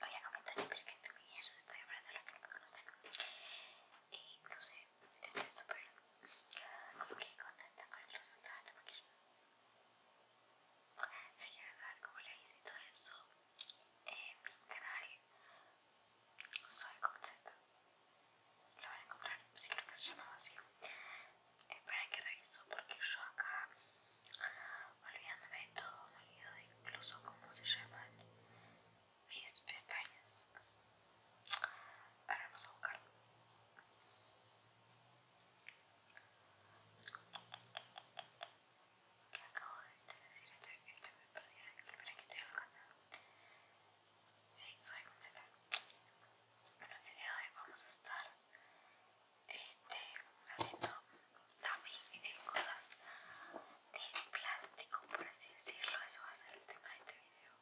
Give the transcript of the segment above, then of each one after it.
voy a comentar pero que mi eso estoy hablando de los que no me conocen y no sé, estoy súper como que contenta con el resultado porque si quieren ver como le hice todo eso en eh, mi canal soy concepto lo van a encontrar, sí creo que se llama así esperen eh, que reviso porque yo acá olvidándome de todo, olvido de incluso cómo se llaman mis pestañas. Ahora vamos a buscar. ¿Qué acabo de decir? Estoy, estoy perdida. Espera que estoy alcanzando. Sí, soy Conceta. Bueno, el día de hoy vamos a estar este, haciendo también en cosas de plástico, por así decirlo. Eso va a ser el tema de este video.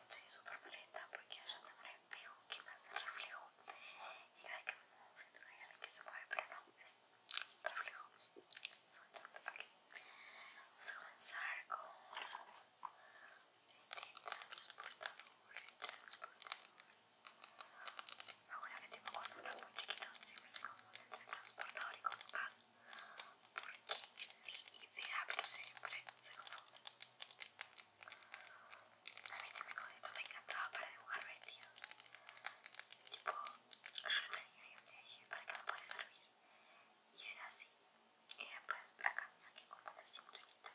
Estoy súper molesta porque yo tengo un espejo que me hace reflejo. Y cada vez que me muevo, siento que hay alguien que se mueve, pero no, es reflejo. Soy aquí que... Vamos a comenzar con este transportador, transportador. Me acuerdo que tipo cuando uno es muy chiquito siempre se confunde entre transportador y compás porque ni idea, pero siempre se confunde. A mí también me encantaba para dibujar vestidos. Tipo, yo tenía y un dije, ¿para qué me puede servir? Hice así y después acá saqué como muy cinturita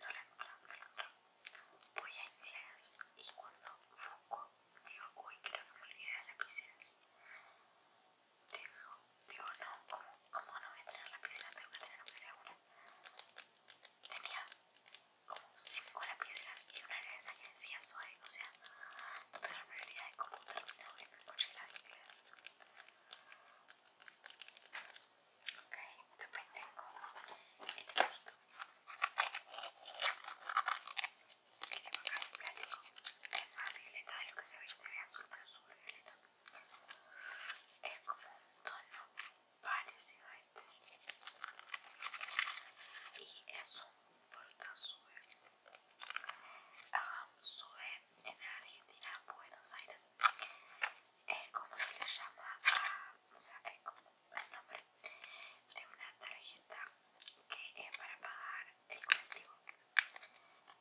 no la encontré. Voy a inglés y cuando busco digo, uy, creo que me olvidé de lapiceras Digo, digo, no, ¿cómo, no voy a tener lapiceras? Tengo que tener aunque sea una. Tenía como cinco lapiceras y una de esas que decía suave, o sea, no tengo la prioridad de cómo terminar en mi coche de inglés. Ok, después tengo este vasito que tengo acá de plástico, es más violeta de lo que se ve, se ve azul pero azul violeta es como un tono parecido a este y es un porta sube sube en Argentina, Buenos Aires es como se le llama, a, ah, o sea, es como el nombre de una tarjeta que es para pagar el colectivo.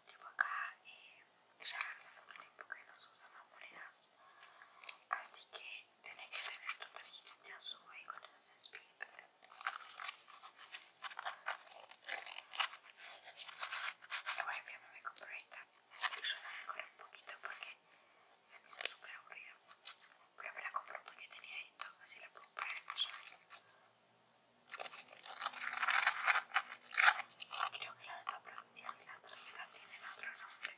Tipo acá eh, ya hace poco tiempo que no se usan las monedas, así que tenés que tener tu tarjeta suba y con los speed. que no me compré esta yo la mejoré un poquito porque se me hizo súper aburrida pero me la compro porque tenía esto así la puedo poner en llaves creo que la de la provincia de la tiene tienen otro nombre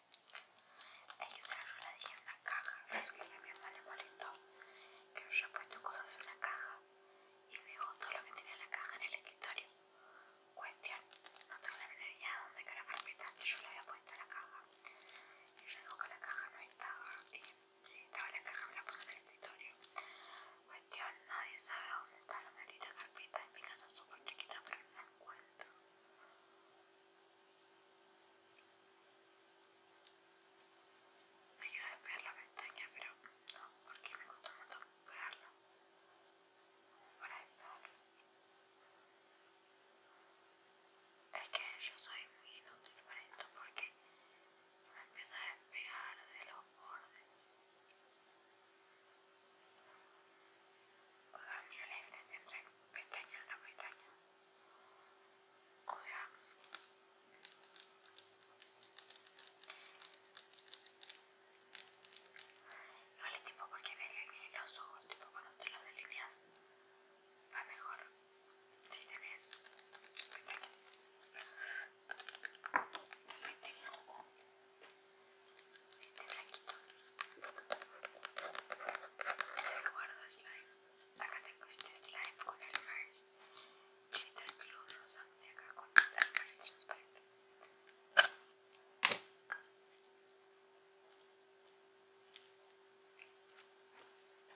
ella yo la dejé en una caja, eso que a mi mamá le molestó, que yo he puesto cosas en una caja y me dejó todo lo que tenía en la caja en el escritorio. Cuestión, no tengo la menor idea de dónde está la carpeta que yo le había puesto en la caja. Ella dijo que la caja no estaba y que si estaba en la caja me la puso en el escritorio. Cuestión, nadie sabe dónde está la maldita carpeta, en mi casa es súper chiquita pero no la encuentro. Me quiero despegar la pestaña, pero no, porque me gusta mucho pegarla. Para despegarla. Es que yo soy muy inútil para esto porque me empieza a despegar de los bordes. Oiga, mira la diferencia entre pestaña y pestaña. O sea, no le tipo porque delineé los ojos, tipo cuando te los delineas va mejor si tienes este blanquito recuerdo slime. Acá tengo este slime con el first glitter blue rosa de acá con el first transparente.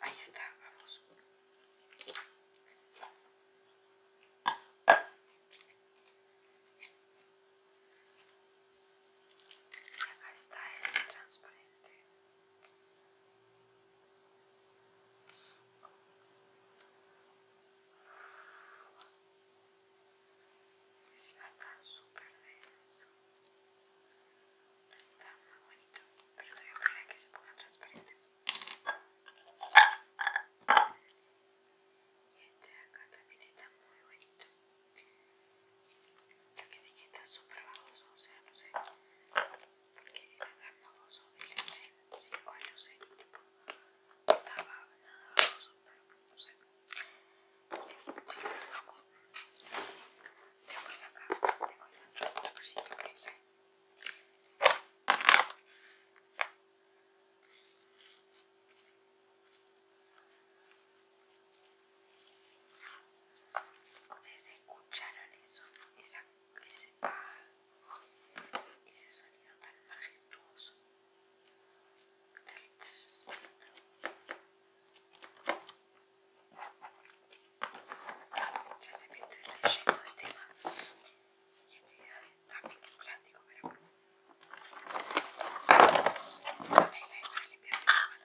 Ahí está, vamos. Y acá está el transparente. Me está súper denso. Está muy bonito. Pero te voy a poner que se ponga transparente. Y este acá también está muy bonito. Lo que sí que está súper bajoso, o sea, no sé por qué está tan bajoso El no sí, igual no sé, estaba nada bajoso, pero no sé. Después pues acá tengo el otro toquecito que le. Ustedes escucharon eso, ah, ese, sonido tan majestuoso. Ya se me estoy leyendo el tema y actividades también en plástico, pero bueno. Ahí la imagen limpiar mi mano.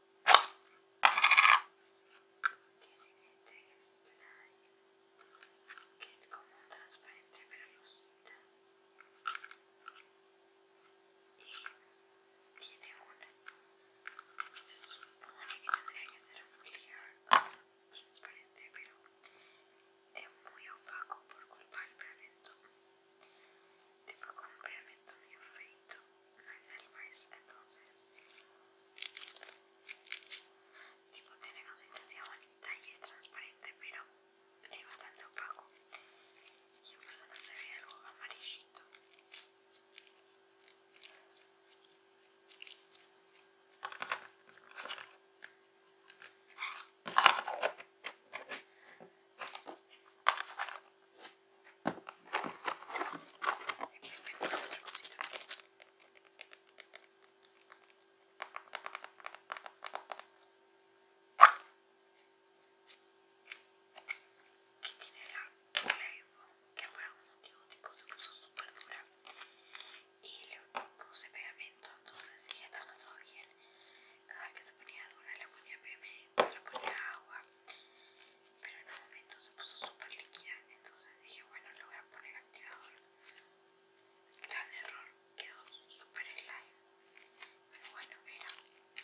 este que es como transparente pero lucida y tiene un... se supone que tendría que ser un clear transparente pero es muy opaco por culpa del pegamento tipo un pegamento muy feito el entonces tipo tiene consistencia bonita y es transparente pero es bastante opaco y en persona se ve algo amarillito aquí tiene la playbook que por algún motivo tipo se puso súper dura y le puse pegamento entonces ya estaba todo bien cada vez que se ponía dura le ponía pegamento le ponía agua pero en un momento se puso súper líquida, entonces dije, bueno, le voy a poner activador. Gran error, quedó súper slime. Pero bueno, era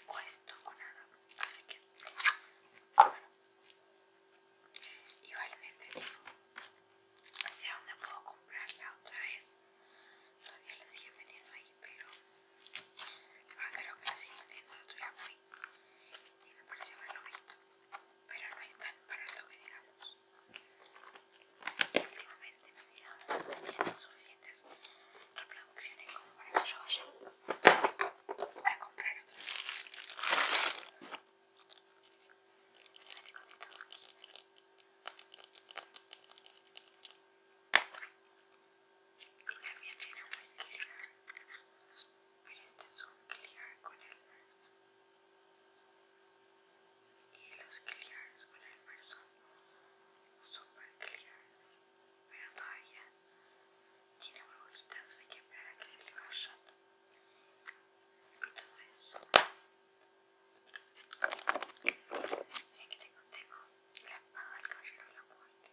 o esto o nada, así que bueno. Igualmente digo, a dónde puedo comprarla otra vez. Todavía la siguen vendiendo ahí, pero ah, creo que la siguen vendiendo. la otro y me pareció lo visto, pero no es tan lo que digamos. Últimamente no me dieron suficientes reproducciones como para que yo vaya a comprar otra aquí y también tiene un clear pero este es un clear con mes. y los clears con mes son super clear pero todavía tiene burbujitas hay que esperar que se le vayan y todo eso Aquí tengo, tengo la espada, al caballero de la muerte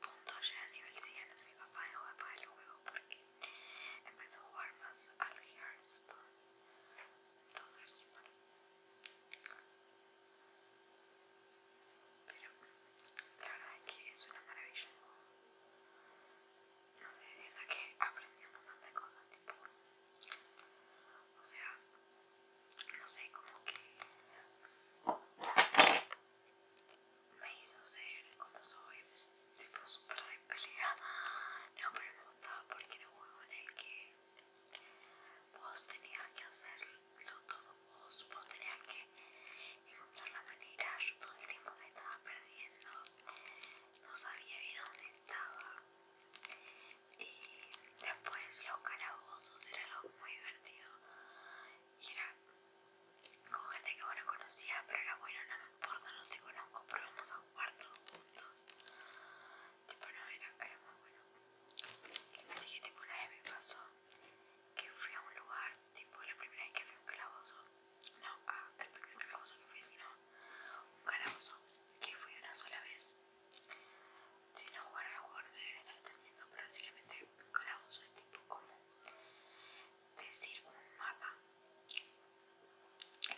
punto ya a nivel 100 mi papá dejó de pagar el juego porque empezó a jugar más al Hearthstone. Entonces, bueno. Pero la verdad es que es una maravilla. No sé, la que aprendí un montón de cosas, tipo. O sea, no sé, como que me hizo ser como soy, tipo súper de No, pero me gustaba porque era un juego en el que vos tenías que hacerlo todo vos, vos tenías que encontrar la manera. todo el tiempo me estaba perdiendo, no sabía bien dónde estaba. Y después los calabozos era algo muy divertido. Y era con gente que vos no conocías, pero era bueno, no me importa, no te conozco, pero vamos a jugar todos juntos. Tipo, no, era, era muy bueno. Así que, tipo, una vez me pasó que fui a un lugar, tipo, la primera vez que fui un calabozo, no, ah, el primer calabozo que fui, sino un calabozo que fui una sola vez. Si no jugar a jugar me debería estar atendiendo, pero básicamente un calabozo tipo como decir un mapa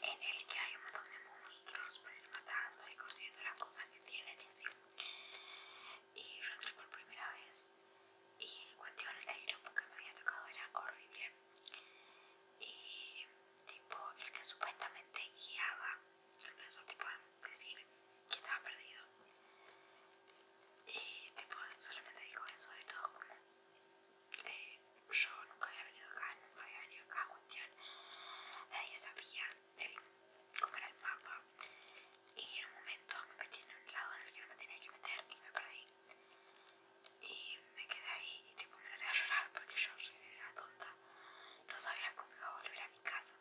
en el que hay un montón de monstruos matando y cosiendo las cosas que tienen en sí. Y yo entré por primera vez y cuestión, el grupo que me había tocado era horrible. Y tipo, el que supuestamente guiaba empezó tipo a decir que estaba perdido. Y tipo, solamente dijo eso de todo como eh, yo nunca había venido acá, nunca había venido acá, cuestión. Nadie sabía cómo era el mapa. Y en un momento me metí en un lado en el que no me tenía que meter y me perdí. Y me quedé ahí y tipo me voy a llorar porque yo soy la tonta. No sabía cómo iba a volver a mi casa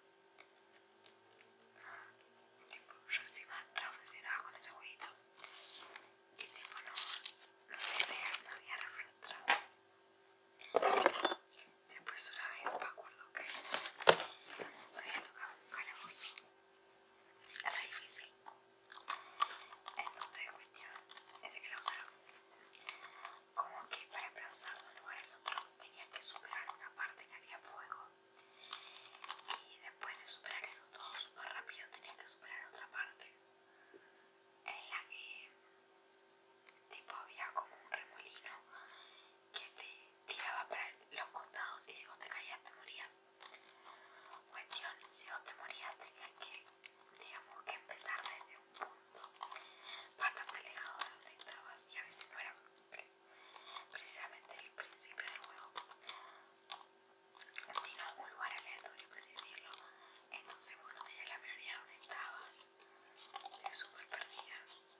tipo reflexionaba con ese huevito y tipo no, lo sé, me había después pues una vez me acuerdo que me había tocado un calabozo era difícil entonces cuestión ese lo era como que para de lugar otro tenía que superar una parte que había fuego y después de superar eso todo súper rápido tenías que superar otra parte en la que tipo había como un remolino que te tiraba para los costados y si vos te caías te morías cuestión si vos te morías tenías que digamos que empezar desde un punto bastante alejado de donde estabas y a veces no era precisamente el principio del juego, si no un lugar aleatorio, por decirlo. Entonces, bueno, te tenías la mayoría donde estabas, te super perdías.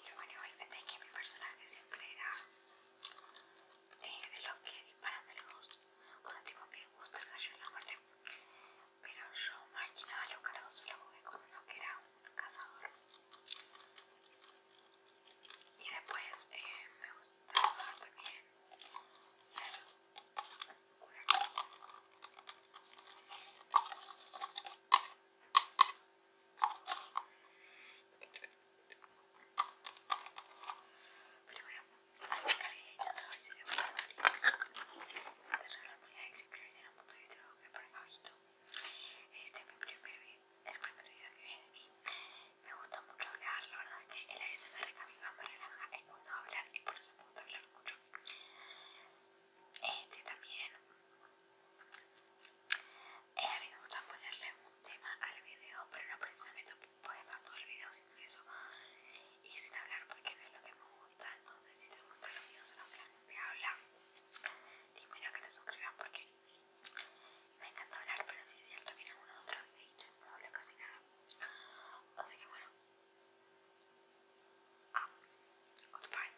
y bueno igualmente es que mi personaje siempre era eh, de lo que disparan de lejos. O sea, tipo, me gusta el gallo en la muerte. Pero yo más que nada lo solo jugué con uno que era un cazador. Y después eh, me gusta también ser un pero bueno, hasta acá el video de hoy. te voy a darles Te regalamos la ejemplar de la moto de trabajo que por abajito. Este es mi primer video, el primer video que vi de Me gusta mucho hablar, la verdad es que el ASMR que a mí me relaja es cuando hablar y por eso me gusta hablar mucho. Este también eh, a mí me gusta ponerle un tema al video, pero no precisamente a estar todo el video sin eso y sin hablar porque no es lo que me gusta. Entonces, si te gustan los videos solo los que la gente habla, primero que te suscribas porque me encanta hablar, pero si es cierto que en algunos otros videos no hablo casi nada. Así que bueno. Ah, goodbye.